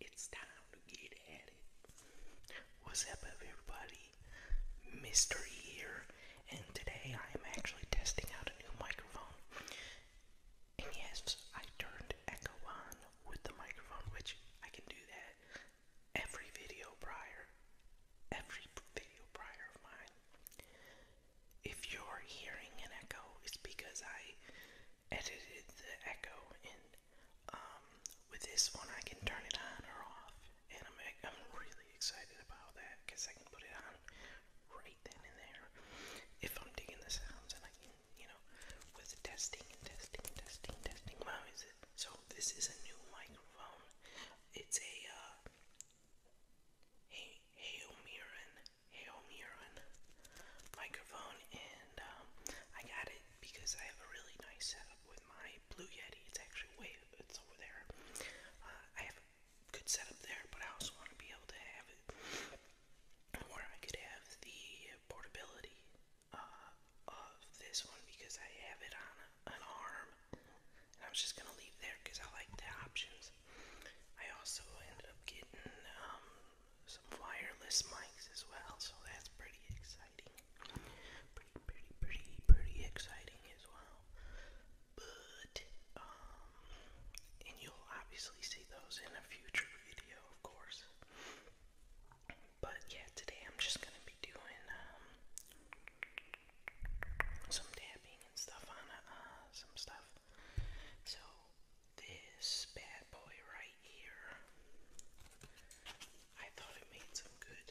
It's time to get at it. What's up, everybody? Mystery here, and today I am actually testing out a new microphone. And yes, I turned echo on with the microphone, which I can do that every video prior, every video prior of mine if you're hearing an echo, it's because I edited the echo and um, with this one I can turn it on or off and I'm, I'm really excited about that because I can put it on right then and there if I'm digging the sounds and I can, you know, with testing and testing and testing testing. Wow, is it? So this is a new microphone. It's a, uh, He Heomiran a Omiron microphone, and um, I got it because I have a really nice setup with my Blue Yeti. It's actually way it's over there. Uh, I have a good setup there, but I also want to be able to have where I could have the portability uh, of this one because I have it on an arm, I was just gonna leave there because I like the options I also ended up getting um, some wireless mics as well, so that's pretty exciting. Pretty, pretty, pretty, pretty exciting as well. But, um, and you'll obviously see those in a future video, of course. But yeah, today I'm just gonna be doing um, some dabbing and stuff on uh, some stuff. So this bad boy right here, I thought it made some good,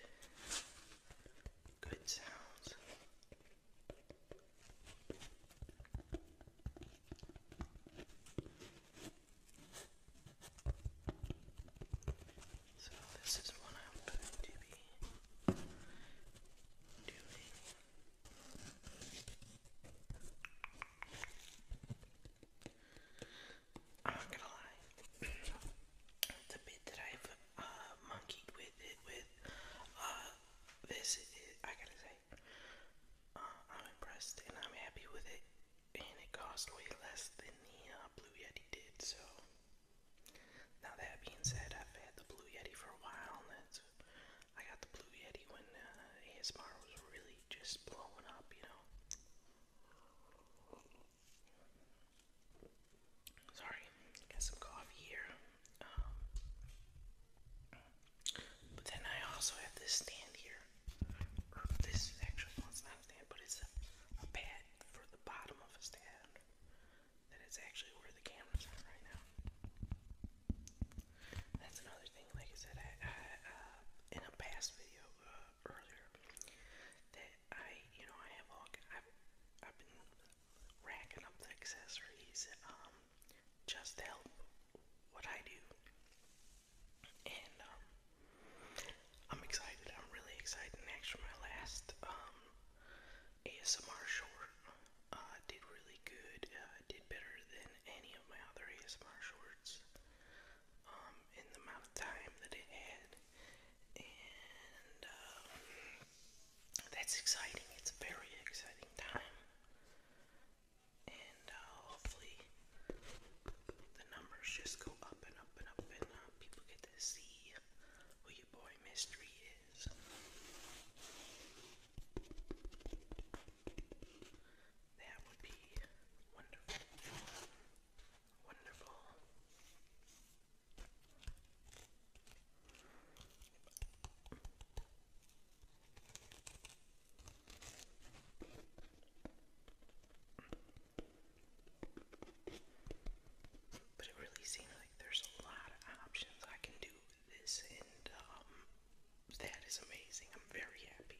good sounds. So this is what I'm going to be doing I'm not gonna lie. the bit that I've uh, monkeyed with it with uh, this, is, I gotta say, uh, I'm impressed and I'm happy with it. And it cost way less than the Blue Yeti did, so now that being said, I've had the Blue Yeti for a while, I got the Blue Yeti when uh, ASMR was really just blowing up, you know. Sorry, got some coffee here. Um, but then I also have this stand here. this is actually, not a stand, but it's a, a for the bottom of a stand. That is actually where the cameras are right now. That's another thing, like I said, uh, in a past video uh, earlier, that I, you know, I have all, I've, I've been racking up the accessories, um, just to help what I do, and, um, I'm excited, I'm really excited, and actually my last, um, ASMR short uh, did really good, uh, did better than any of my other ASMR shorts um, in the amount of time that it had. And um, that's exciting. It's a very exciting time. And uh, hopefully the numbers just go up and up and up and uh, people get to see Boy Mystery is. That would be wonderful. Wonderful. But it really seems like there's a lot of options I can do this, and um, that is amazing. I'm very happy.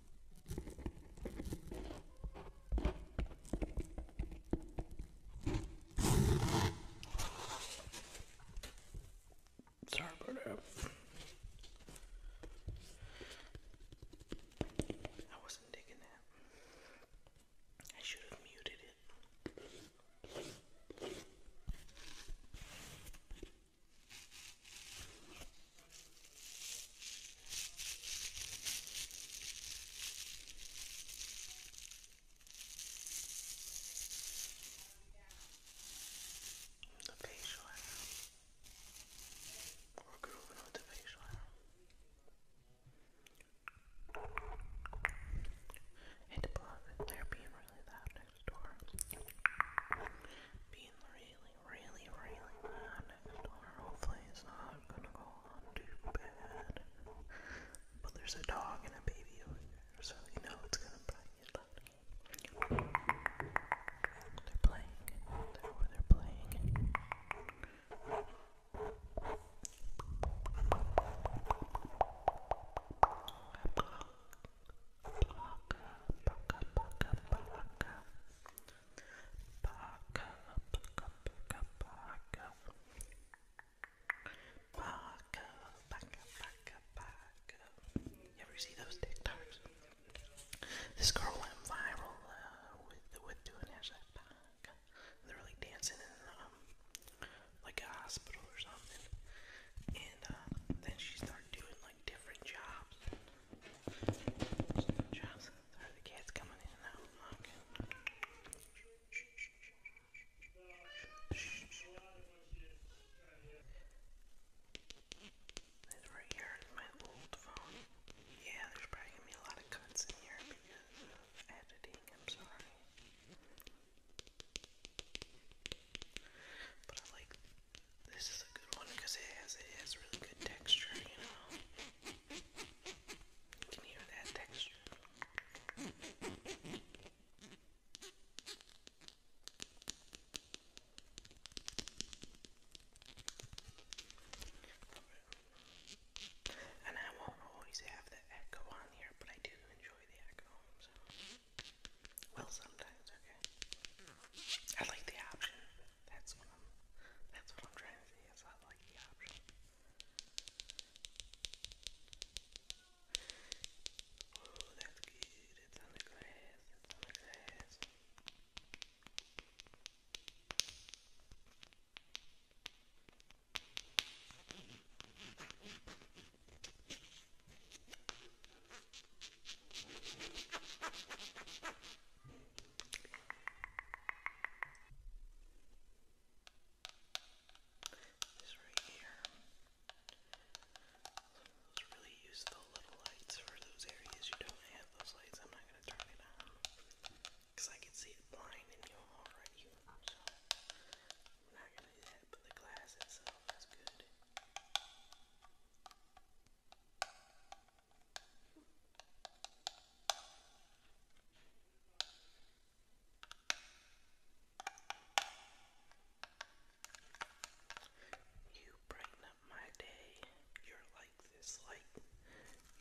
Sorry about that. I wasn't digging I should have muted it. The facial hair. We're the facial And above, they being really loud next door. Being really really, really bad, or hopefully it's not gonna go on too bad. But there's a dog and a baby over here, so you know it's gonna probably loud. They're playing. they're playing. You ever see those TikToks? This girl went viral uh, with doing hashtag They're like dancing in um, like a hospital or something, and uh, then she started doing like different jobs. jobs. There the kids coming in and out right here is my old phone. Yeah, there's probably gonna be a lot of cuts in here because of editing, I'm sorry. But I like this is a good one because it has it has really good texture, you know. You can hear that texture. And I won't always have the echo on here, but I do enjoy the echo. Well, sometimes, okay. I like the option. That's what I'm that's what I'm trying to say is I like the option. Oh, that's good. It's on the glass. It's on the glass. This right here. Let's really use the little lights for those areas you don't have those lights. I'm not gonna turn it on because I can see it blind in you already. So the glass itself is good. You brighten up my day. You're like this light.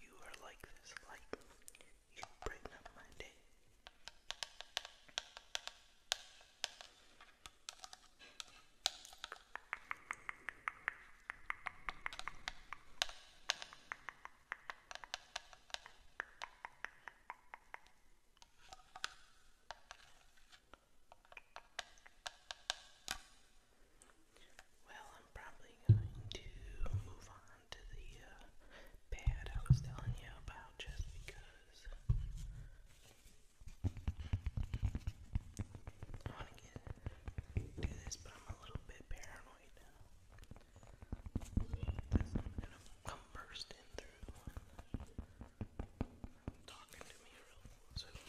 You are like this light. You brighten up my day. Well, I'm probably going to move on to the uh, I was telling you about just because I want to get do this, but I'm a little bit paranoid now. Because i gonna come bursting through talking to me real soon,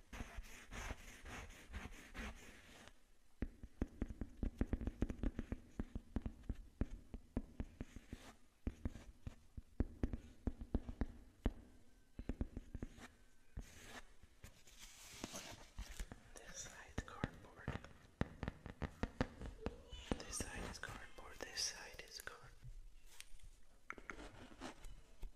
this side cardboard. This side is cardboard. This side is cardboard.